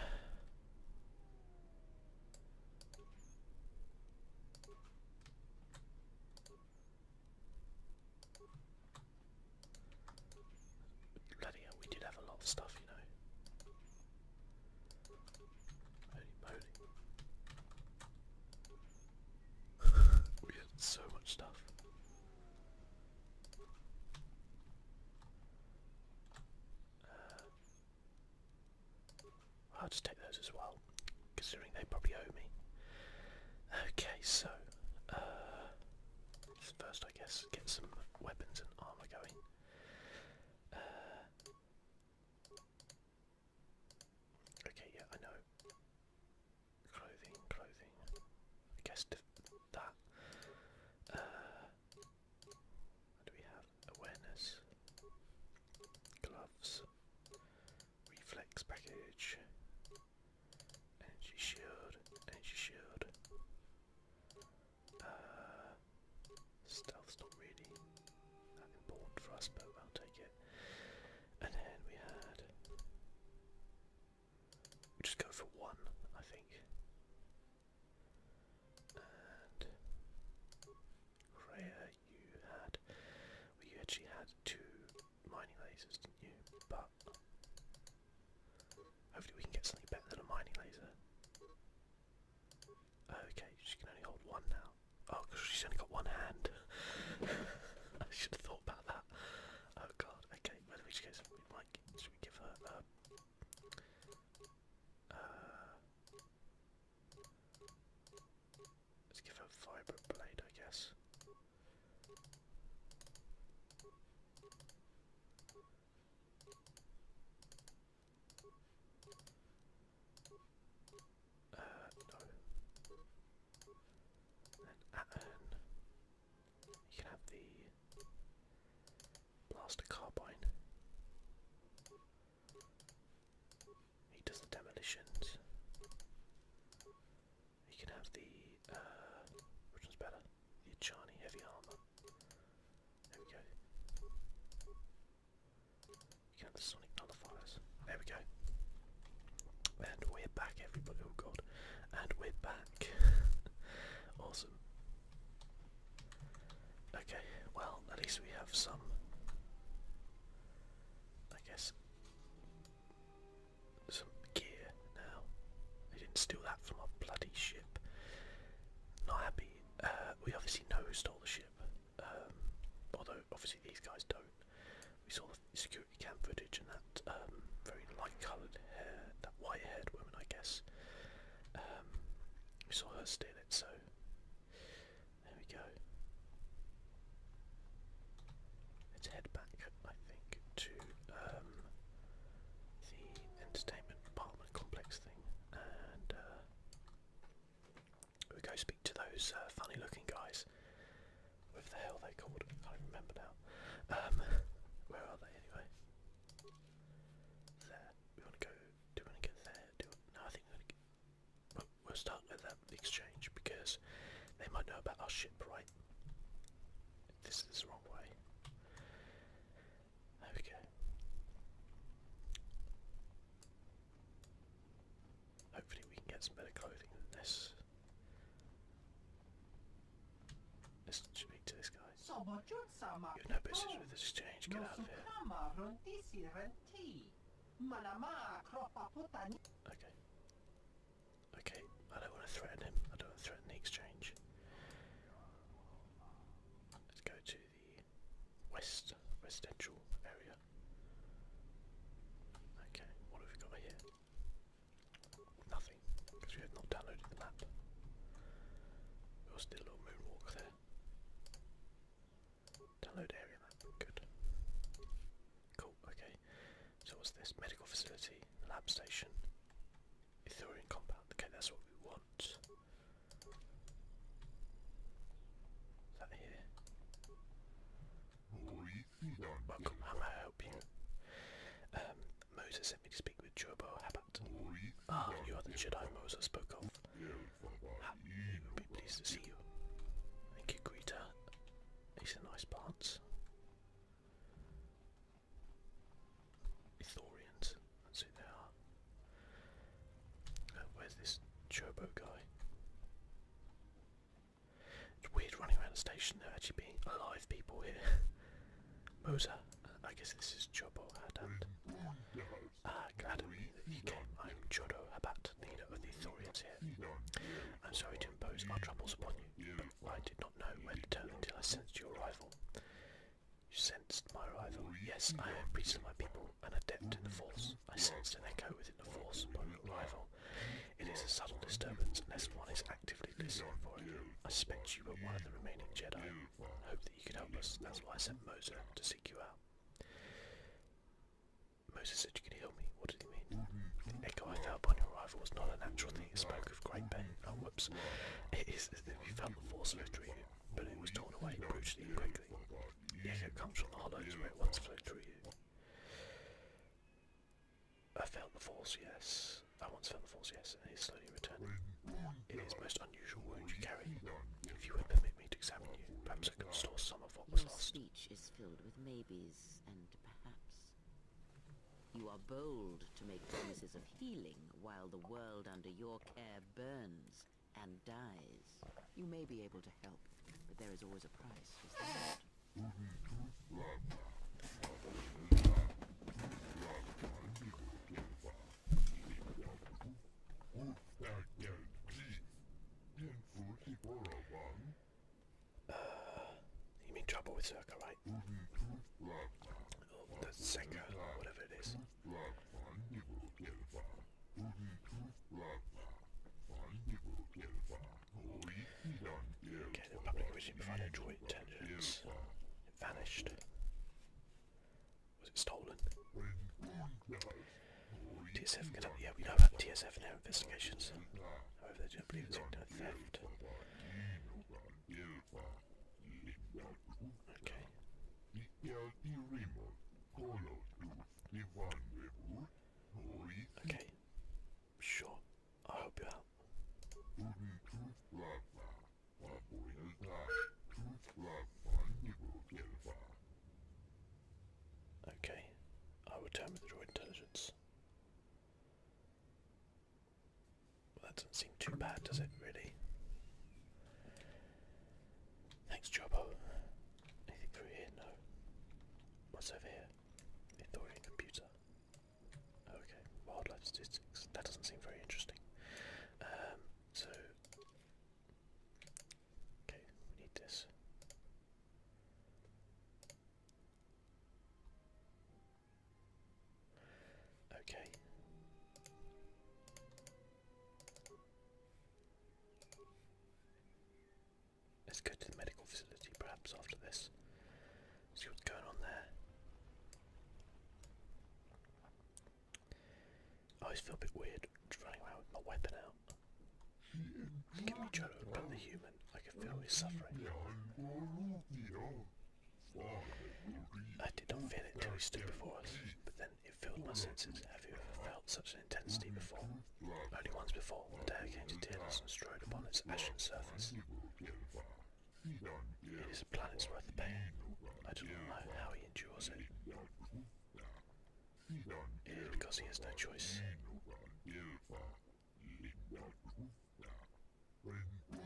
we did have a lot of stuff, you know. we had so much stuff. Uh, I'll just take those as well, considering they probably owe me. Okay, so, uh, first I guess get some weapons and armour going. Uh, Okay, yeah, I know. Clothing, clothing. I guess that. Uh, do we have? Awareness. Gloves. Reflex package. Energy shield. Energy shield. Uh, stealth's that important for us, but I'll take it. And then we had. just go for one, I think. And. Rhea, you had. you actually had two mining lasers, didn't you? But. Hopefully, we can get something better than a mining laser. Okay, she can only hold one now. Oh, she's only got one hand. I should have thought about that. Oh god. Okay. we Should we give her? Uh, uh, let's give her a vibrant blade, I guess. Uh, You can have the blaster carbine. He does the demolitions. You can have the uh which one's better? The Achani heavy armor. There we go. You can have the sonic There we go. And we're back, everybody. Oh god. And we're back. awesome. Okay, well, at least we have some. I guess. Some gear now. They didn't steal that from our bloody ship. Not happy. Uh, we obviously know who stole the ship. Um, obviously these guys don't. We saw the security cam footage and that um, very light-coloured hair, that white-haired woman, I guess. Um, we saw her steal it, so there we go. Let's head back, I think, to um, the entertainment apartment complex thing, uh, we go speak to those uh, funny looking guys. What the hell they called? I can't remember now. Um, where are they anyway? There. We want to go. Do we want to get there? no, I think we're going we'll start with that exchange because they might know about our ship, right? This is the wrong way. There we go. Hopefully we can get some better clothing than this. Let's speak to this guy. You've no business with this exchange, get out of here. Okay. Okay, I don't want to threaten him. I don't want to threaten the exchange. Let's go to west residential area. Okay, what have we got here? Nothing, because we have not downloaded the map. We also did a moonwalk there. Download area map, good. Cool, okay. So what's this? Medical facility, lab station, Ithorian compound. Okay, that's what we want. Is that here? I help you? Moses sent me to speak with Jobo Habat. Ah, you are the Jedi Moses spoke of. He will be pleased to see you. Thank you, Greta. These are nice plants. Ithorians, that's who they are where's this Chobo guy? It's weird running around the station, there actually being alive people here. Mosa, I guess this is Chobo Haddad. Mm. Ah, glad that you came. I'm Chodo Habat, leader of the Thorians here. I'm sorry to impose our troubles upon you, but I did not know where to turn until I sensed your arrival. You sensed my arrival? Yes, I am a priest of my people, an adept in the force. I sensed an echo within the force upon your arrival. It is a subtle disturbance unless one is actively listening for it. I suspect you are one of the remaining Jedi. I hope that you could help us, that's why I sent Moser to seek you out. Moses said you could heal me. What did he mean? The echo I felt upon your arrival was not a natural thing. It spoke of great pain. Oh, whoops. It is as if you felt the force of a but it was torn away brutally and quickly. Music comes from the hollows where it once flowed through you. I felt the force, yes. I once felt the force, yes, and it is slowly returning. It is most unusual wound you carry. If you would permit me to examine you, perhaps I can restore some of what was lost. Each is filled with maybes and perhaps. You are bold to make promises of healing while the world under your care burns and dies, you may be able to help, but there is always a price, mean trouble with Circa, right? Mm-hmm. Oh, that's whatever it is. Mm-hmm. Okay, the public vision provided droid intelligence. It vanished. Was it stolen? TSF yeah, we know about TSF and investigations. However, they don't believe it's no theft. Okay. Okay. Sure. I hope you out. Okay. I will turn with the intelligence. Well, that doesn't seem too bad, does it, really? Thanks, Jobo. Anything through here? No. What's over here? Victorian computer. Okay, wildlife statistics. That doesn't seem very interesting. Um, so. Okay, we need this. Okay. Let's go to the medical facility perhaps after this. See what's going on there. I always feel a bit weird running around with my weapon out. Give me try to open the human. I can feel his suffering. I did not feel it until he stood before us, but then it filled my senses. Have you ever felt such an intensity before? Only once before, the day I came to Tearless and strode upon its ashen surface. It is a planet's worth of pain. I do not know how he endures it. It is because he has no choice.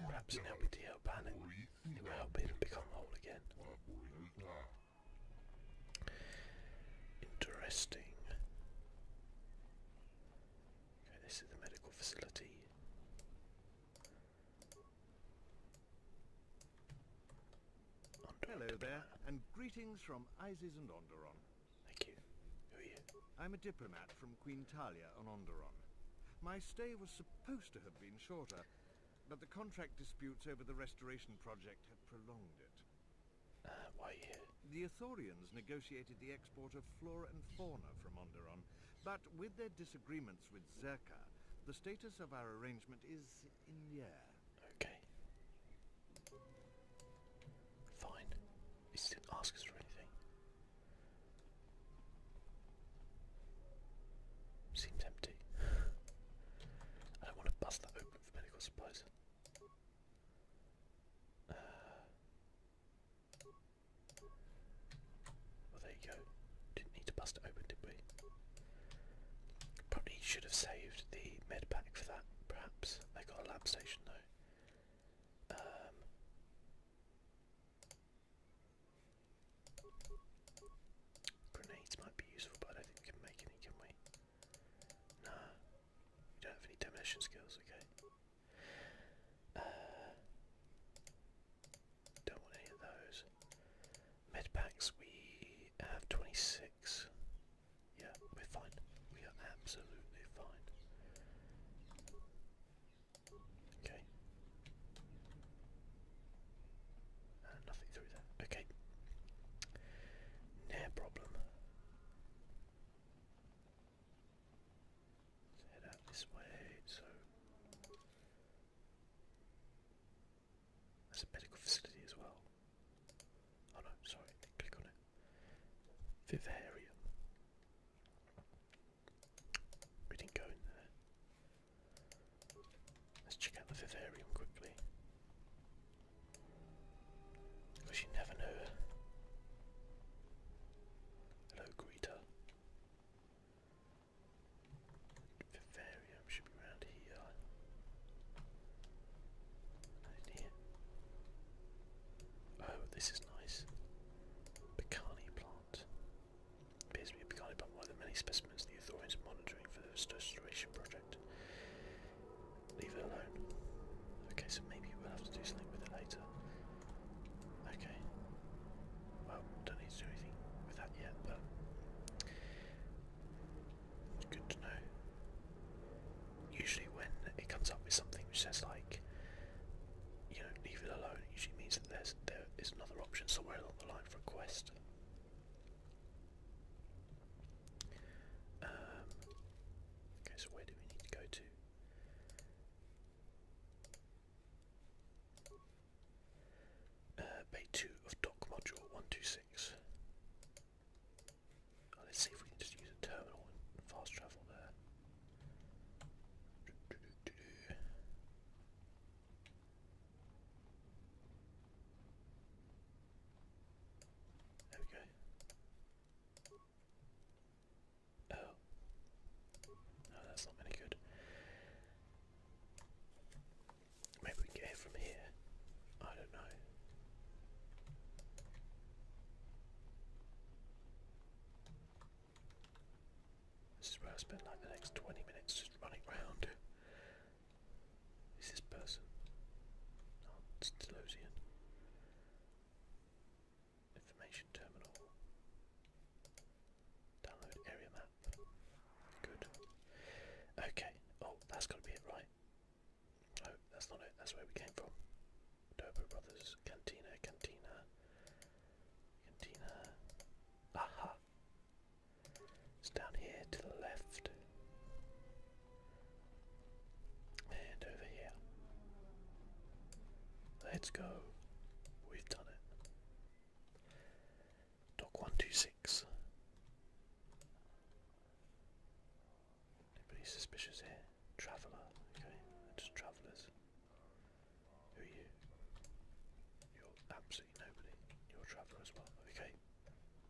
Perhaps in helping to help Panic, it will help him become whole again. Interesting. Okay, this is the medical facility. Hello there, and greetings from Isis and Onderon. Thank you. Who are you? I'm a diplomat from Queen Talia on Onderon. My stay was supposed to have been shorter, but the contract disputes over the restoration project have prolonged it. Uh, the Athorians negotiated the export of flora and fauna from Onderon, but with their disagreements with Zerka, the status of our arrangement is in the air. Okay. Fine. He didn't ask us for anything. Seems empty. I don't want to bust that open for medical supplies. Uh, well, there you go. Didn't need to bust open, did we? Probably should have saved the med pack for that, perhaps. They got a lab station, though. Um, grenades might be useful, but I think we can make any, can no. You don't have any demolition skills, okay. Uh, don't want any of those. Med packs, we have 26. Yeah, we're fine. We are absolutely fine. Okay. Uh, nothing through there. Okay. No problem. Let's head out this way, so that's a medical facility as well. Oh no, sorry, click on it. Vivarium. We didn't go in there. Let's check out the vivarium quickly. Because you never know. Hello, Greta. Vivarium should be around here. here. Oh, this is nice. Picani plant. Appears plant, one of the many specimens the authorities are monitoring for the restoration project. Leave it alone. Okay, so maybe we'll have to do something with it later. Okay. Well, don't need to do anything with that yet, but it's good to know. Usually when it comes up with something which says like, you know, leave it alone, usually means that there's, there is another option somewhere along the line for a quest. Um, okay, so where do we need to go to? bay uh, 2 of dock module 126. let's see if we can just use a terminal and fast travel there. There we go. Oh. No, oh, that's not many good. Maybe we get from here. I don't know. This is where I spend like the next 20 minutes just running around is this person? Not it's Delosian. Information terminal. Download area map. Good. Okay. Oh, that's got to be it, right? No, that's not it. That's where we came from. Dobo Brothers. Cantina, Cantina. Cantina. Aha! It's down here to the left. And over here. Let's go. We've done it. Dock 126. Anybody suspicious here? Traveller. Okay, just travellers. Who are you? You're absolutely nobody. You're a traveller as well. Okay.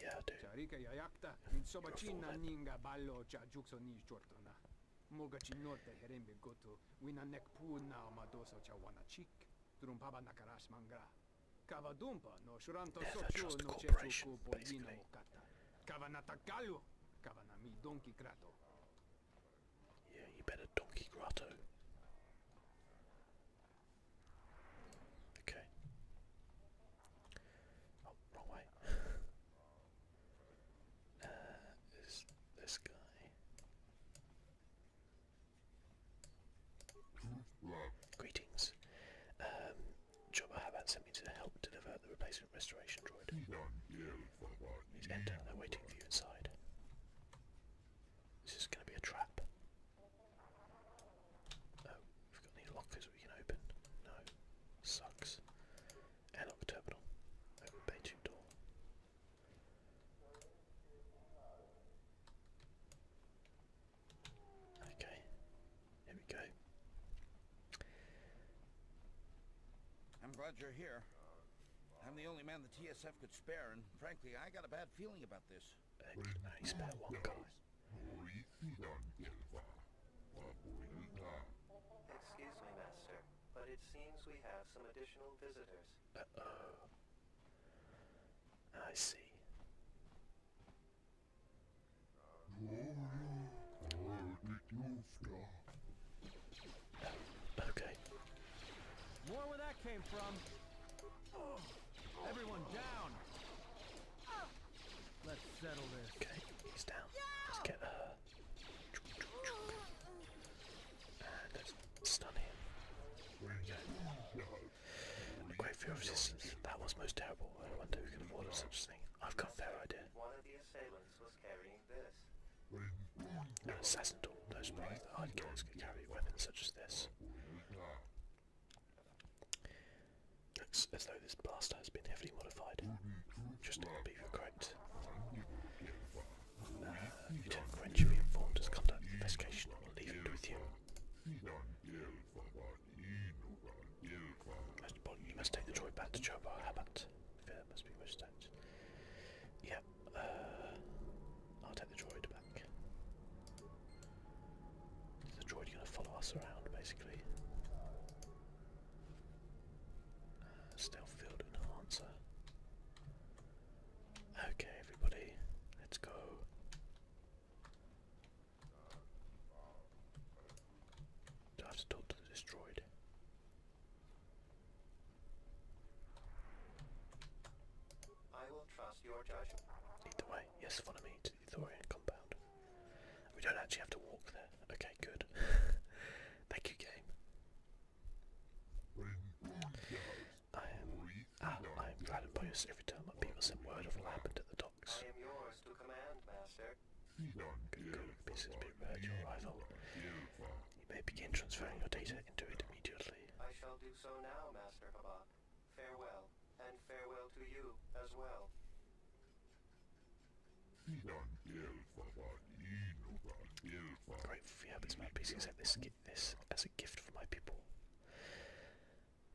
Yeah, dude. Charika yayakta, minsobachina ninga balo chajukso ni chortana. Mogachi norte herembe goto, winanek puna madoso chawanachik, drumpaba nakarash mangra. Kavadumpa no shuranto sochu no chechuku polino mokata. Kavanatakalu, kavanami donkey grato. Yeah, you better donkey grato. Okay. Oh, wrong way. Uh, is this guy? Greetings. Um, Jobba sent me to help deliver the replacement restoration droid. He's entering. They're waiting for you inside. This is going to be a trap. Oh, we've got any lockers we can open? No. Sucks. Airlock terminal. Open bedroom door. Okay, here we go. I'm glad you're here. I'm the only man the TSF could spare, and frankly, I got a bad feeling about this. Excuse me, Master, but it seems we have some additional visitors. oh I see. Okay. Everyone down. Let's settle this. Okay, he's down. Let's get her. And let's A great resistance. That was most terrible. I wonder who can have ordered such a thing. I've got a idea. An assassin tool. No hard killers could carry weapons such as this. Looks as though this blaster has been heavily modified. Just to be correct. Uh, Lieutenant be informed, has come to an investigation and will leave it with you. Most important, you must take the droid back to Chobar Habat. Fear must be respected. Yep, uh, I'll take the droid back. the droid's going to follow us around, basically? Uh, stealth field enhancer. Okay, everybody, let's go. Do I have to talk to the destroyed? I will trust your judgment. Lead the way. Yes, follow me to the Ethorian compound. We don't actually have to walk there. Okay, good. Thank you, game. I am. Ah, I am gladdened by us every time people send word of what happened at the docks. I am yours to command, master. Good going pieces be prepared your arrival. You may begin transferring your data into it immediately. I shall do so now, Master Habak farewell, and farewell to you as well. Great Fiabits my pieces at this this as a gift for my people.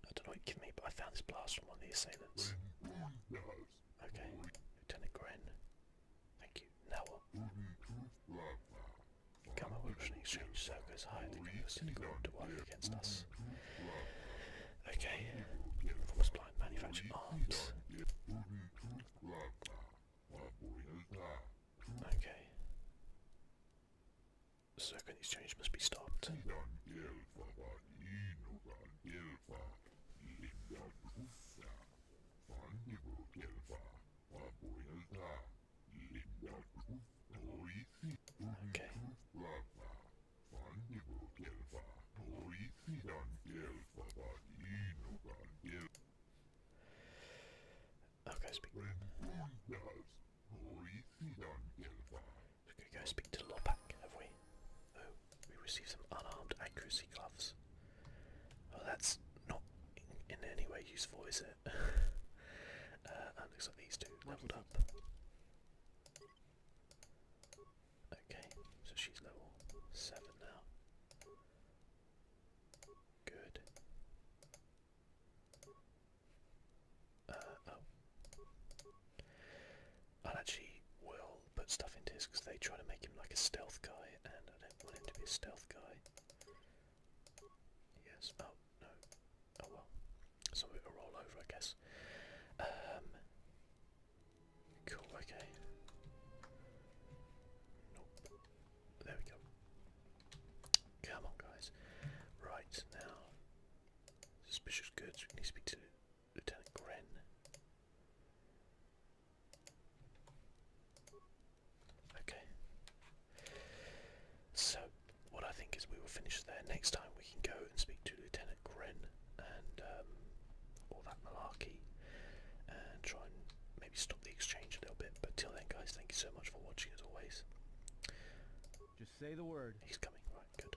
I don't know what you me, but I found this blast from one of the assailants. Okay. Lieutenant Gren. Thank you. Now what? Come Revolution Exchange Circus hired the University Guild to work against us. Okay, force blind manufacture arms. Okay. exchange must be stopped. Okay. Okay, speak. we to go speak to Lopak, have we? Oh, we received some unarmed accuracy gloves. Oh, that's not in, any way useful, is Uh, looks like these two leveled up. Okay, so she's level seven now. Good. i uh, oh. actually will put stuff into his because they try to make him like a stealth guy, and I don't want him to be a stealth guy. Yes. Oh no. Oh well. Some of roll over, I guess. Um, cool. Okay. Nope. There we go. Come on, guys. Right now, suspicious goods. We need to speak to Lieutenant Gren. Okay. So, what I think is we will finish there. Next time we can go and speak to Lieutenant Gren and um, all that malarkey and try and maybe stop the exchange a little bit. But till then, guys, thank you so much for watching as always. Just say the word. He's coming, right? Good.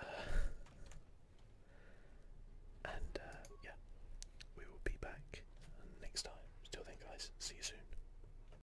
Uh, and uh, yeah, we will be back next time. Till then, guys, see you soon.